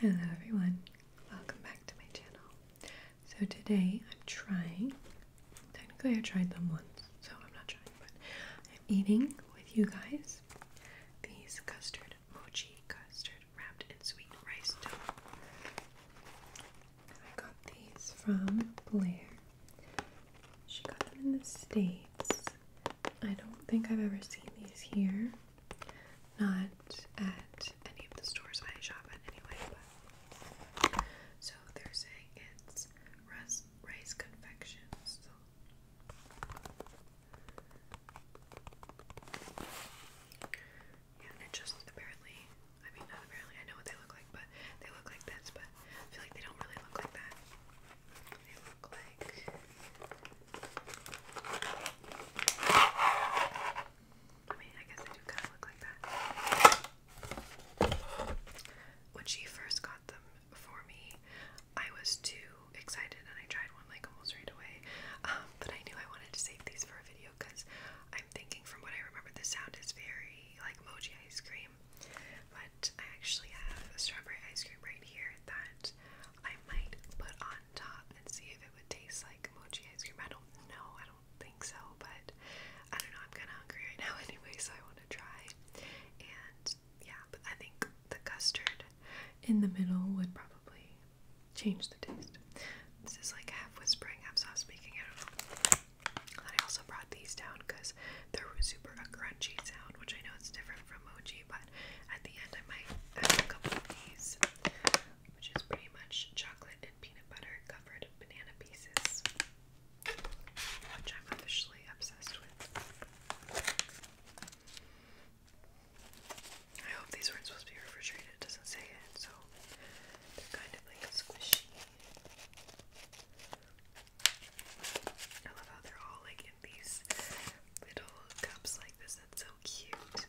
Hello everyone, welcome back to my channel. So today I'm trying, technically I tried them once, so I'm not trying, but I'm eating with you guys these custard, mochi custard wrapped in sweet rice dough. I got these from Blair. She got them in the States I don't think I've ever seen these here. Not at any of the stores I shop at anyway, so they're saying it's rice, confections. yeah, and it just apparently, I mean, apparently, I know what they look like, but they look like this, but I feel like they don't really look like that. They look like I When she first got them for me, I was too excited and I tried one like almost right away. Um, but I knew I wanted to save these for a video because I'm thinking from what I remember, the sound is very like mochi ice cream. But I actually have a strawberry ice cream right here that I might put on top and see if it would taste like mochi ice cream. I don't know. I don't think so, but I don't know. I'm kind of hungry right now anyway, so I want to try. And yeah, but I think the custard in the middle would probably change the taste. This is like half whispering, half soft speaking. I don't know. And I also brought these down because they're super crunchy sound, which I know it's different from mochi, but at the end I might add a couple of these, which is pretty much chocolate and peanut butter covered banana pieces, which I'm officially obsessed with. I hope these weren't supposed to be refrigerated, it doesn't say it, so they're kind of like squishy. I love how they're all like these little cups like this. That's so cute.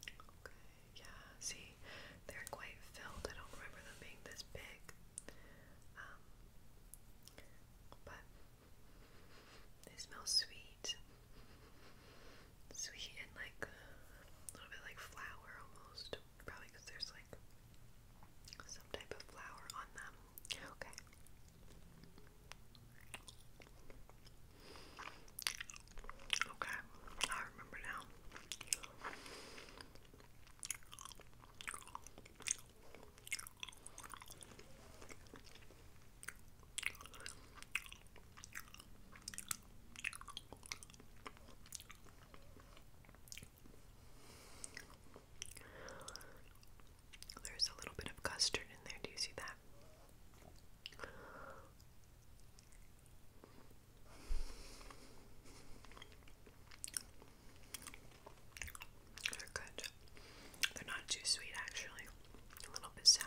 Okay, yeah, see, they're quite filled. I don't remember them being this big. Um, but they smell sweet. Sweet and like a little bit like flour almost. Probably because there's like some type of flower on them. Okay. Okay, I remember now. There's a little bit of custard in there. Do you see that? They're good. They're not too sweet, actually. A little bit sour.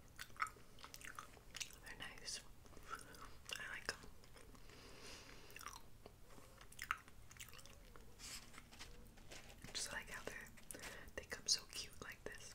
They're nice. I like them. Just like how they they come so cute like this.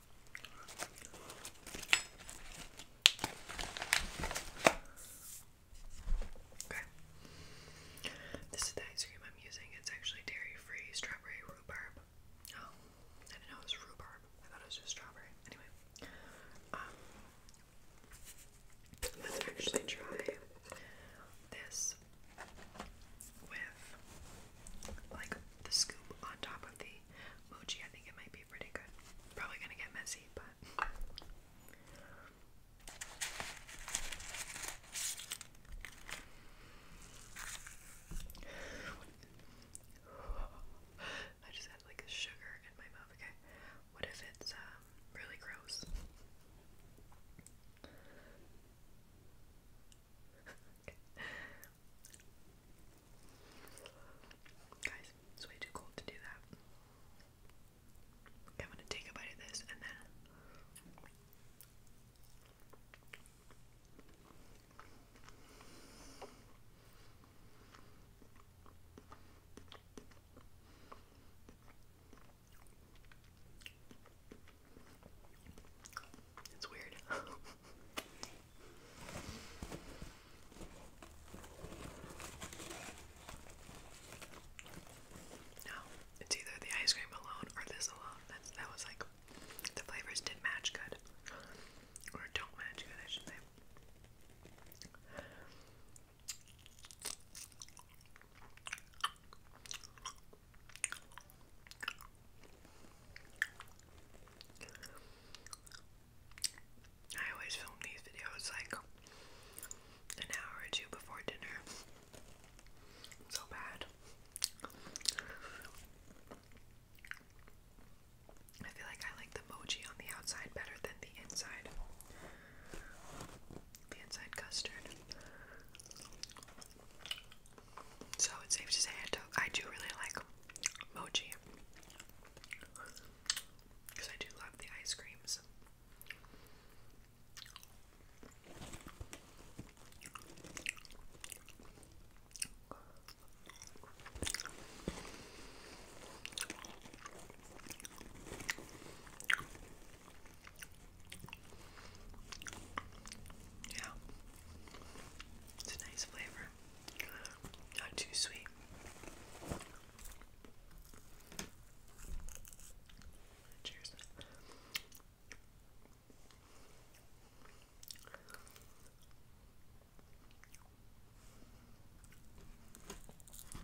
This is the ice cream I'm using. It's actually dairy free strawberry rhubarb. Oh, I didn't know it was rhubarb. I thought it was just strawberry. Anyway, um, let's actually try this with like the scoop on top of the Moji, I think it might be pretty good. Probably gonna get messy, but. I just had like sugar in my mouth. Okay, what if it's um, really gross? Guys, it's way too cold to do that. Okay, I'm gonna take a bite of this and then. It's weird. No, it's either the ice cream alone or this alone. That's, that was like the flavors did match good, or don't match good, I should say. I always film these videos like an hour or two before dinner. So bad. I feel like I like the mochi on the outside better than the inside. The inside custard. So it's safe to say I do, I do really like mochi. Because I do love the ice creams. Yeah. It's a nice flavor. Not too sweet. Cheers.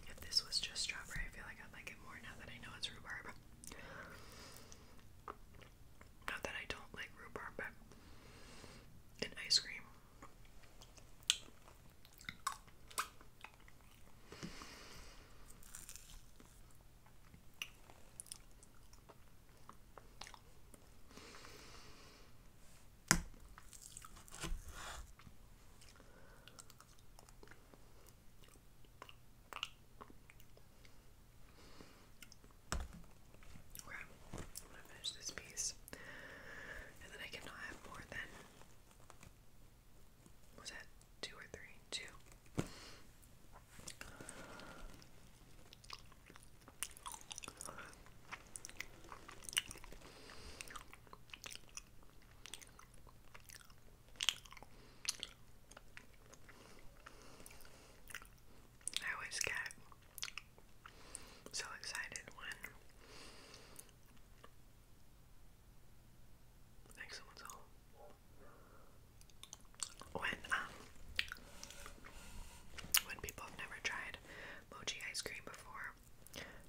If this was just strawberry, I feel like I would like it more now that I know it's rhubarb. Not that I don't like rhubarb, but in ice cream. Okay, I'm gonna finish this piece. And then I cannot have more than was that two or three? Two. I always get so excited when I someone's home. When um when people have never tried mochi ice cream before.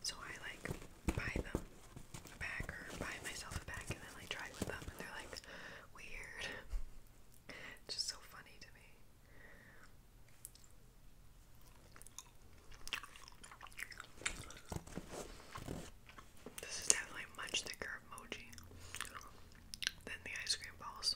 So I like buy them a bag or buy myself a bag and then like try it with them and they're like weird. It's just so funny to me. This is definitely much thicker emoji than the ice cream balls.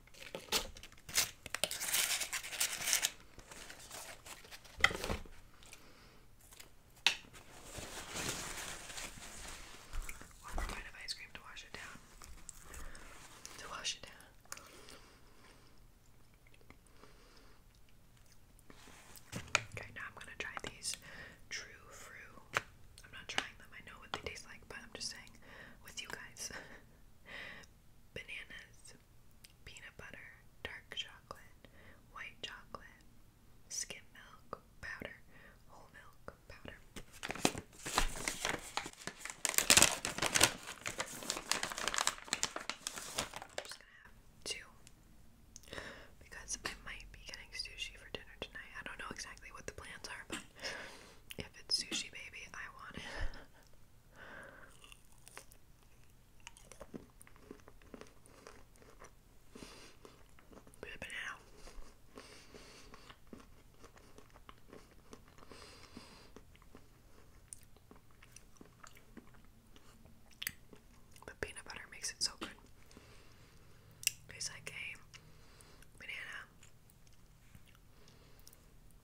One more kind of ice cream to wash it down. To wash it down. Okay, now I'm gonna try these true fruit I'm not trying them, I know what they taste like, but I'm just saying with you guys. Bananas, peanut butter, dark chocolate, white chocolate, skim milk powder, whole milk powder. I'm just gonna have two because I might be getting sushi for dinner tonight. I don't know exactly what the plans are, if it's sushi baby, I want it. Rip The peanut butter makes it so good. Tastes banana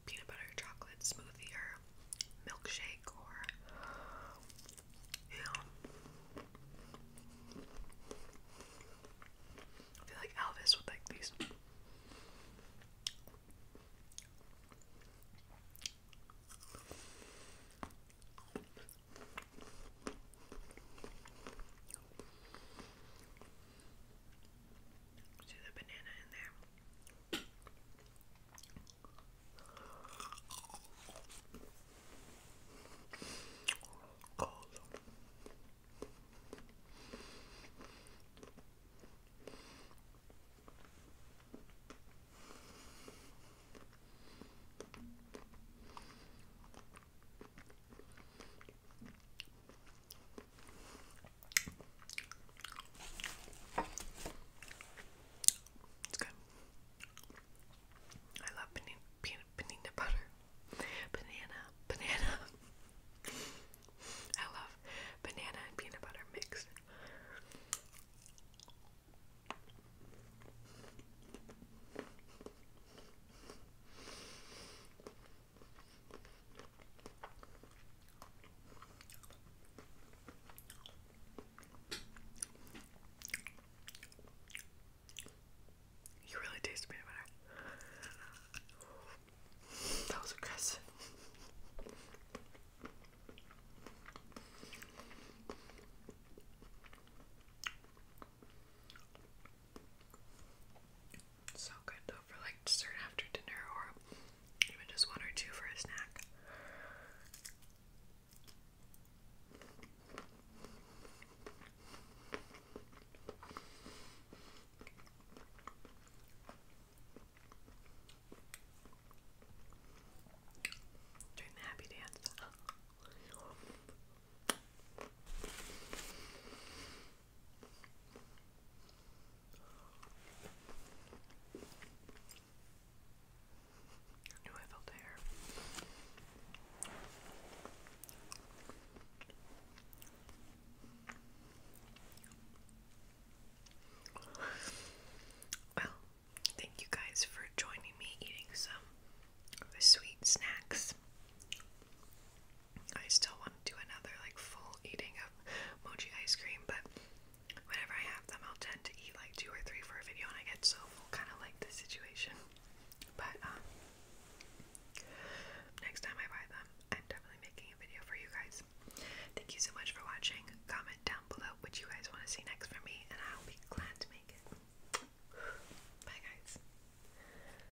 peanut butter chocolate smoothie or milkshake or I feel like Elvis would like these See the banana in there. Cold. It's good. I love banana, banana, butter. Banana, banana. I love banana and peanut butter mixed. You really taste peanut butter. That was aggressive. So good though for like dessert after dinner or even just one or two for a snack. Doing the happy dance. I I felt the Well, thank you guys for joining me eating some sweet snacks. I still want to do another like full eating of mochi ice cream, but whenever I have them, I'll tend to eat like two or three for a video, and I get so full, kind of like the situation. But um, next time I buy them, I'm definitely making a video for you guys. Thank you so much for watching. Comment down below what you guys want to see next from me, and I'll be glad to make it. Bye, guys.